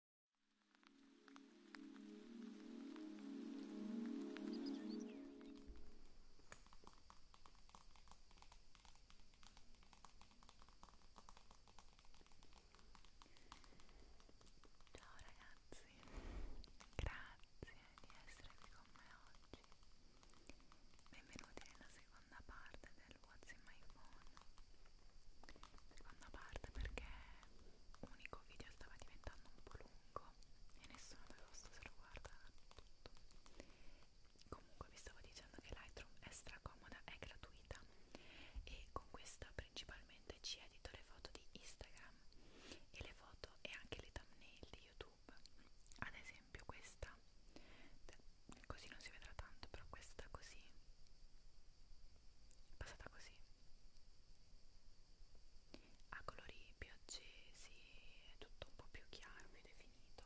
Ciao ragazzi, grazie di essere qui con me oggi. Benvenuti nella seconda parte del WhatsApp quasi mai phone seconda parte perché unico video stava diventando un po' lungo e nessuno aveva posto se lo guarda tutto comunque vi stavo dicendo che Lightroom è stracomoda, è gratuita e con questa principalmente ci edito le foto di Instagram e le foto e anche le thumbnail di YouTube ad esempio questa così non si vedrà tanto però questa così è passata così a colori più accesi è tutto un po' più chiaro, più definito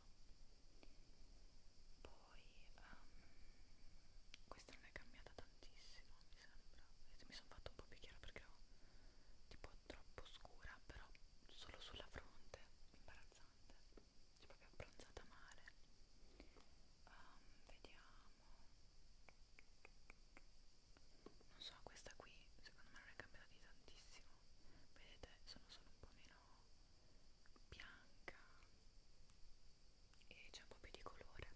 poi um, questa non è cambiata tantissimo mi sembra mi sono fatto un po' più chiaro perché ho tipo troppo scura però solo sulla fronte imbarazzante cioè proprio abbronzata male um, ehm, vediamo non so questa qui secondo me non è cambiata di tantissimo vedete sono solo un po' meno bianca e c'è un po' più di colore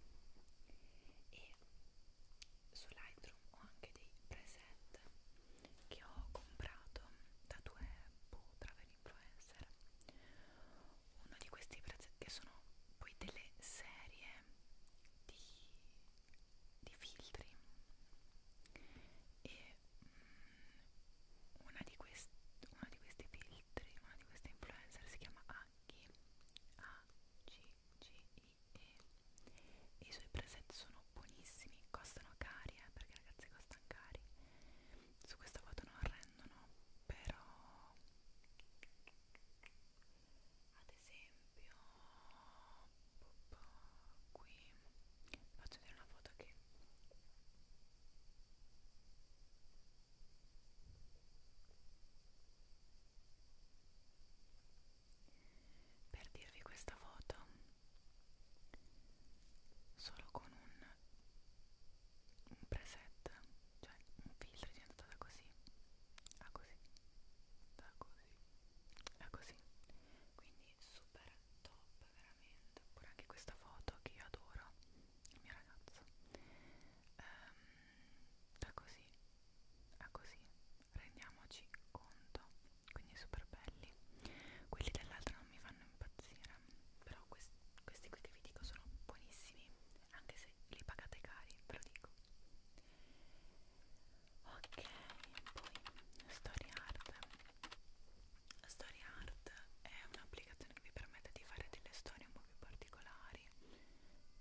e su Lightroom ho anche dei preset che ho comprato da due boh, travel influencer uno di questi pezzetti che sono poi delle serie di, di filtri e mh, mm, una di quest, uno di questi filtri, una di queste influencer si chiama Aghi A G G I E i suoi preset sono buonissimi, costano cari eh, perché ragazzi costano cari su questa foto non prendono però ad esempio qui faccio vedere una foto che per dirvi questa foto solo con un un preset, cioè un filtro è diventato da così a così, da così a così, quindi super top veramente. Oppure anche questa foto che io adoro, il mio ragazzo, um, ehm, da così a così, rendiamoci conto, quindi super belli. Quelli dell'altro non mi fanno impazzire però quest questi qui che vi dico sono buonissimi anche se li pagate cari ve lo dico ok poi story art story art è un'applicazione che vi permette di fare delle storie un po' più particolari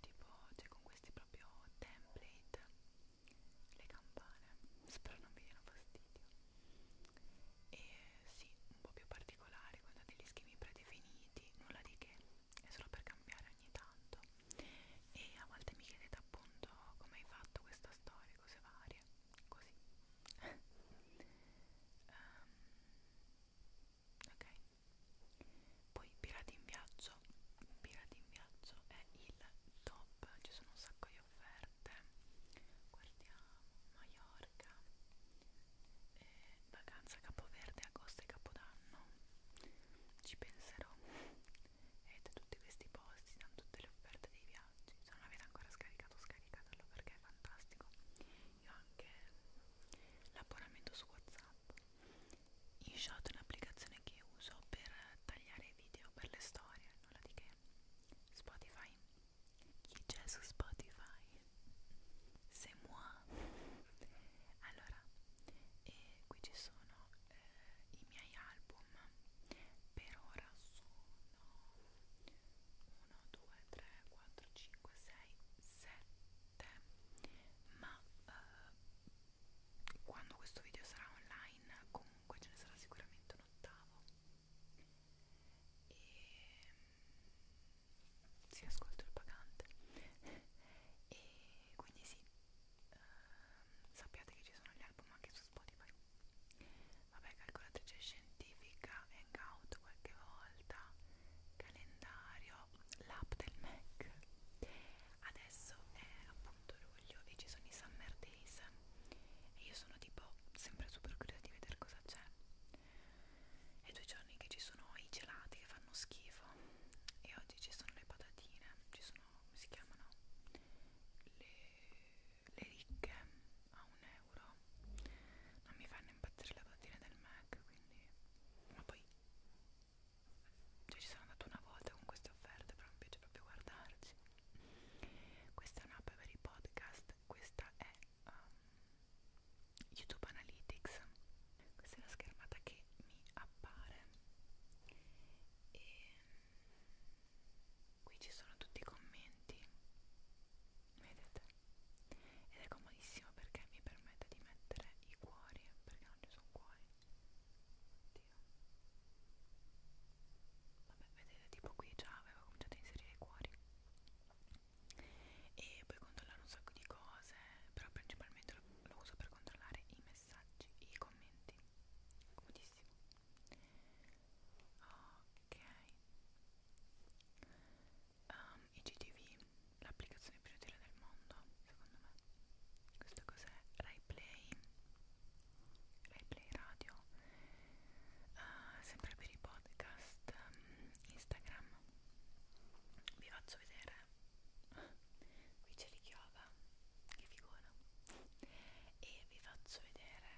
tipo cioè con questi proprio template le campane spero non vi diano fastidio e sì, un po' più particolari con degli schemi predefiniti, nulla di che, è solo per cambiare ogni tanto e a volte mi chiedete appunto come hai fatto questa storia, cose varie, così um, ok poi Pirati in Viaggio Pirati in Viaggio è il top, ci sono un sacco di di offerte guardiamo Maiorca e eh, vacanza Capoverde, agosto e Capodanno ci penserò e da tutti questi posti, da tutte le offerte dei viaggi se non l'avete ancora scaricato scaricatelo perché è fantastico io anche l'abbonamento su Whatsapp InShot è un'applicazione che uso per tagliare i video per le storie nulla di che Spotify. Chi c'è su Spotify? C'est moi. Allora, e eh, qui ci sono eh, i miei album. Per ora sono 1, 2, 3, 4, 5, 6, 7. Ma eh, quando questo video sarà online, comunque ce ne sarà sicuramente un ottavo e si sì, ascolto il pagante e quindi sì uh, sappiate che ci sono gli album anche su Spotify vabbè calcolatrice scientifica hangout qualche volta calendario l'app del Mac adesso è appunto luglio e ci sono i summer days days e io sono tipo sempre super curiosa di vedere cosa c'è è due giorni che ci sono i gelati che fanno schifo e oggi ci sono le patatine ci sono come si chiamano le, le ricche a un euro non mi fanno impazzire le patatine del Mac quindi ma poi cioè ci sono andata una volta con queste offerte però mi piace proprio guardarci questa è un'app per i podcast, questa è um, YouTube Analytics. Questa è la schermata che mi appare e qui ci sono tutti i commenti, vedete? Ed è comodissimo perché mi permette di mettere i cuori, perché non ci sono cuori oddio vabbè vedete tipo qui già avevo cominciato a inserire i cuori e puoi controllare un sacco di cose però principalmente lo, lo uso per controllare i messaggi e i commenti comodissimo ok um, IGTV l'applicazione più utile del mondo secondo me questo cos'è? Rai Play RaiPlay Radio, uh, sempre per i podcast um, Instagram. Vi faccio vedere, qui c'è l'Ichioba, che figura, e vi faccio vedere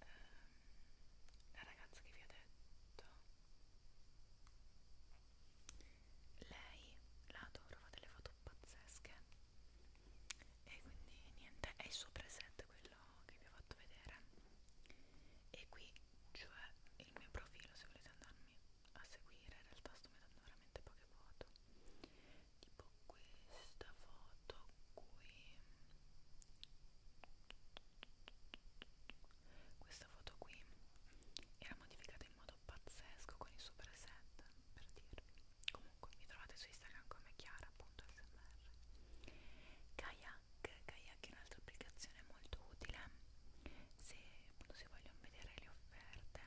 uh, la ragazza che vi ho detto. Lei la adoro, fa delle foto pazzesche e quindi niente è il suo preset quello che vi ho fatto vedere e qui cioè il mio profilo se volete andarmi a seguire in realtà sto mettendo veramente poche foto tipo questa foto qui questa foto qui era modificata in modo stato pazzesco con il suo preset per dirvi comunque mi trovate su Instagram come chiara.smr kayak kayak è un'altra applicazione molto utile se appunto si vogliono vedere le offerte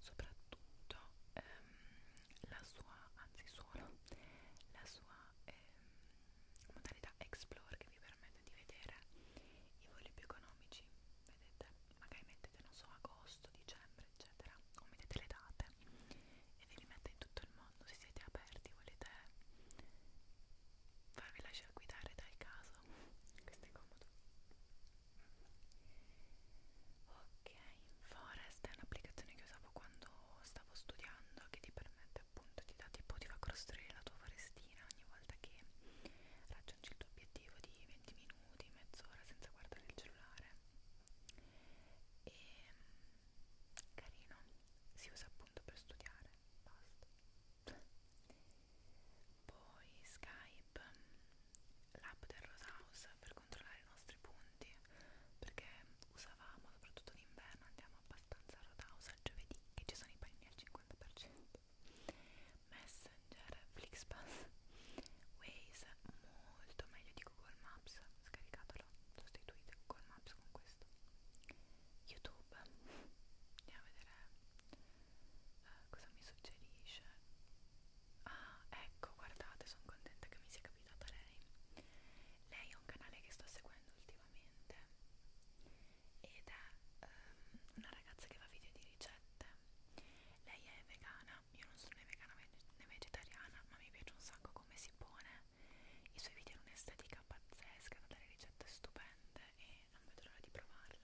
soprattutto ehm, la sua anzi solo la sua ehm, modalità explore che vi permette di vedere i voli più economici vedete magari mettete non so agosto, dicembre eccetera o mettete le date e ve li mette in tutto il mondo se siete aperti volete farvi lasciare guidare dal caso questo è comodo ok Forest è un'applicazione che usavo quando stavo studiando che ti permette appunto ti dà tipo ti fa costruire la tua forestina ogni volta che raggiungi il tuo obiettivo di 20 minuti, mezz'ora senza guardare il cellulare e ehm, carino, si usa appunto per studiare, basta poi Skype, l'app del Rosehouse per controllare i nostri punti perché usavamo soprattutto d'inverno, andiamo abbastanza a Rosehouse al giovedì che ci sono i panini al 50% Messenger, Flixbus, Waze, molto meglio di Google Maps, scaricatelo, sostituite Google Maps con questo. YouTube, andiamo a vedere uh, cosa mi suggerisce. Ah, ecco, guardate, sono contenta che mi sia capitata lei. Lei è un canale che sto seguendo ultimamente ed è um, una ragazza che fa video di ricette lei è vegana, io non sono né vegana né vegetariana, ma mi piace un sacco come si pone. I suoi video hanno un'estetica pazzesca, ha delle ricette stupende e non vedo l'ora di provarle.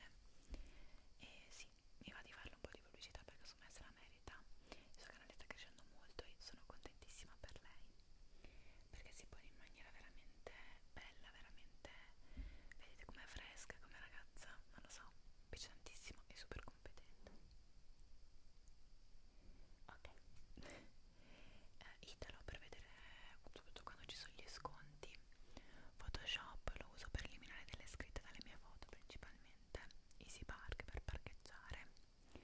E sì, mi va di farle un po' di pubblicità perché su me se la merita. Il suo canale sta crescendo molto e sono contentissima per lei perché si pone in maniera veramente bella veramente vedete com'è fresca come ragazza non lo so mi piace tantissimo e super competente ok eh, Italo per vedere soprattutto quando ci sono gli sconti Photoshop lo uso per eliminare delle scritte dalle mie foto principalmente Easy Park per parcheggiare e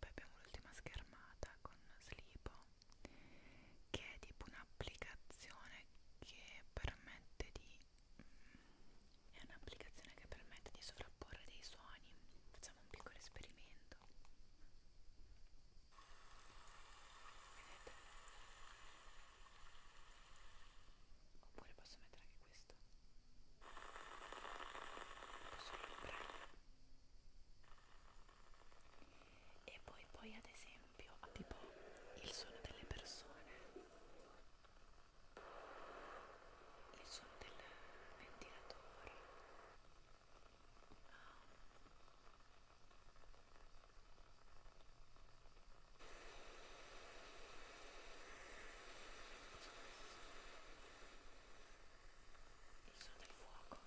poi abbiamo l'ultima schermata con Slipo che è tipo un'applicazione che permette di mm, è un'applicazione che permette di sovrapporre dei suoni facciamo un piccolo esperimento vedete? oppure posso mettere anche questo posso riprendere e poi poi ad esempio esempio a tipo il suono delle persone il suono del ventilatore ah. il suono del fuoco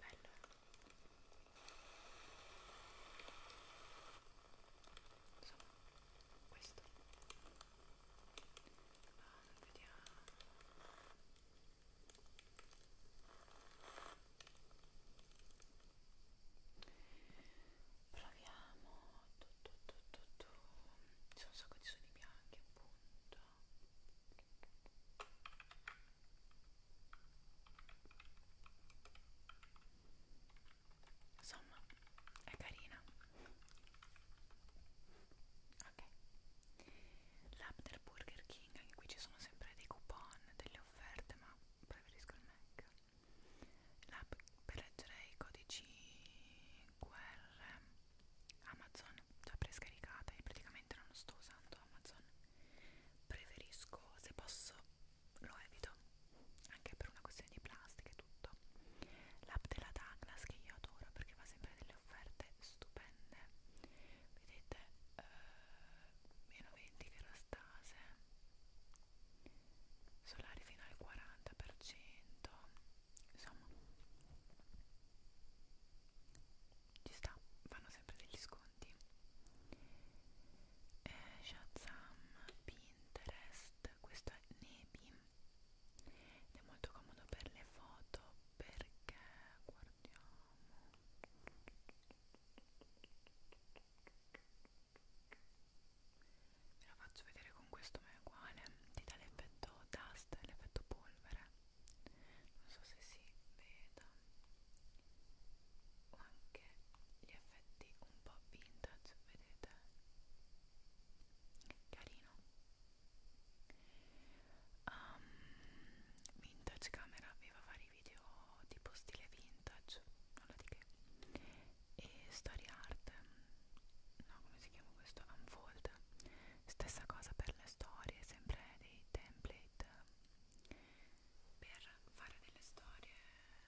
Bello. Insomma, questo. Um, vediamo proviamo tu, tu, tu, tu, tu. c'è un sacco di suoni bianchi appunto insomma è carina ok l'After Burger King anche qui ci sono sempre dei coupon delle offerte ma preferisco il Mac l'app per leggere i codici QR Amazon già prescaricata e praticamente non sto usando Amazon preferisco se posso lo evito anche per una questione di plastica e tutto l'app della Douglas che io adoro perché fa sempre delle offerte stupende vedete eh, meno 20 kerastase solari fino al 40% insomma ci sta, fanno sempre degli sconti eh, Shazam, Pinterest, questo è Nebi ed è molto comodo per le foto perché guardiamo ve la faccio vedere con questo ma è uguale ti dà l'effetto dust l'effetto polvere non so se si veda o anche gli effetti un po' vintage vedete carino um, vintage camera vi va a fare i video tipo stile vintage, nulla di che, e story art, no come si chiama questo? Unfold, stessa cosa per le storie, sempre dei template per fare delle storie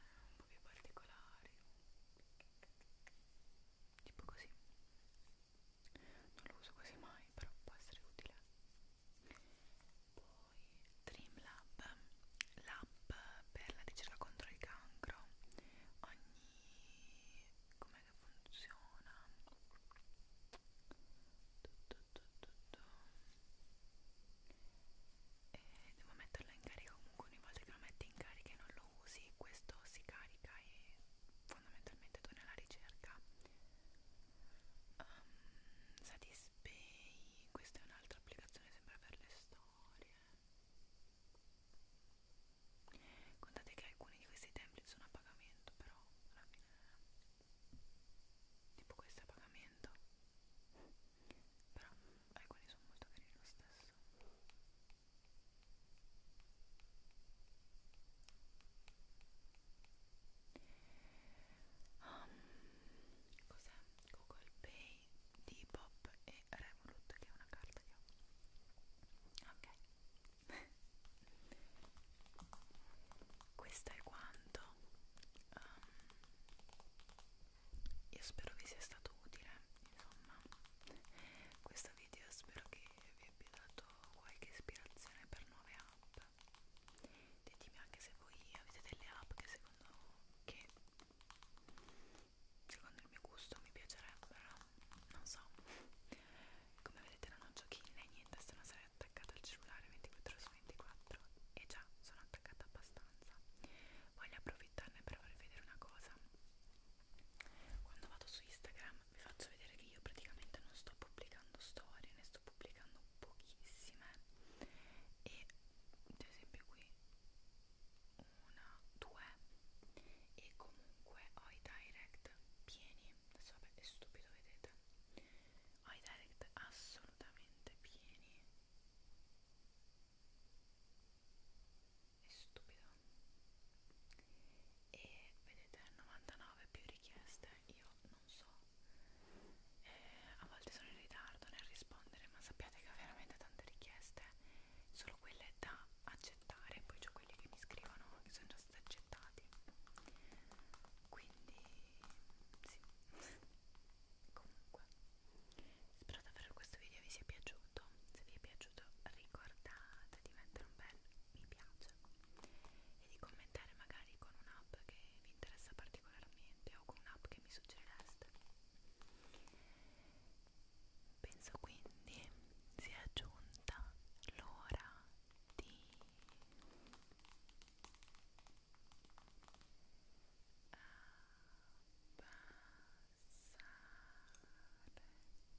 un po' più particolari, tipo così. Non lo uso quasi mai, però può essere utile poi Dreamlab, l'app per la ricerca contro il cancro ogni... come funziona? Tutto, tutto, tutto. E devo metterlo in carica comunque ogni volta che lo metti in carica e non lo usi questo si carica e fondamentalmente tu nella ricerca um, ehm, Satispay questa è un'altra applicazione sempre per le storie contate che alcuni di questi template sono a pagamento però alla fine tipo questo è a pagamento però alcuni sono molto carini lo stesso um, cos'è? Google Pay, Depop e Revolut che è una carta che ho ok questo è quanto um, io spero vi sia stato utile insomma questo video spero che vi abbia dato qualche ispirazione per nuove app eccetera ditemi anche se voi avete delle app che secondo che secondo il mio gusto mi piacerebbero non so come vedete non ho giochini né niente sono sarei attaccata al cellulare 24 su 24 e già sono attaccata abbastanza voglio approfittarne per farvi vedere una cosa quando vado su Instagram vi faccio vedere che io praticamente non sto pubblicando storie, ne sto pubblicando pochissime e ad esempio qui una, due e comunque ho i direct pieni, adesso vabbè è stupido vedete, ho i direct assolutamente pieni è stupido e vedete 99 più richieste io non so e a volte sono in ritardo nel rispondere ma sappiate che ho veramente tante richieste solo quelle da accettare poi c'è quelli che mi scrivono che sono già stati accettati quindi sì comunque spero davvero questo video vi sia piaciuto se vi è piaciuto ricordate di mettere un bel mi piace e di commentare magari con un'app che vi interessa particolarmente o con un'app che mi suggerireste. Penso quindi sia giunta l'ora di abbassare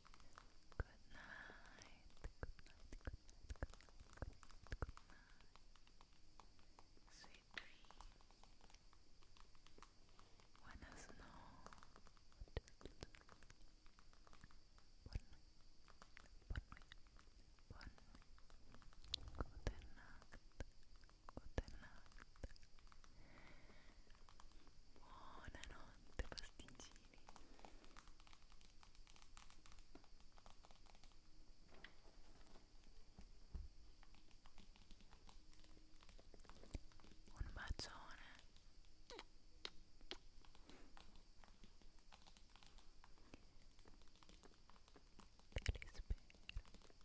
Good night. Good night. Good night. Good night. Good night. Good night. Sweet dreams. Buenas noches. Good night. Good night. Buona notte pasticcini un bacione Te li spero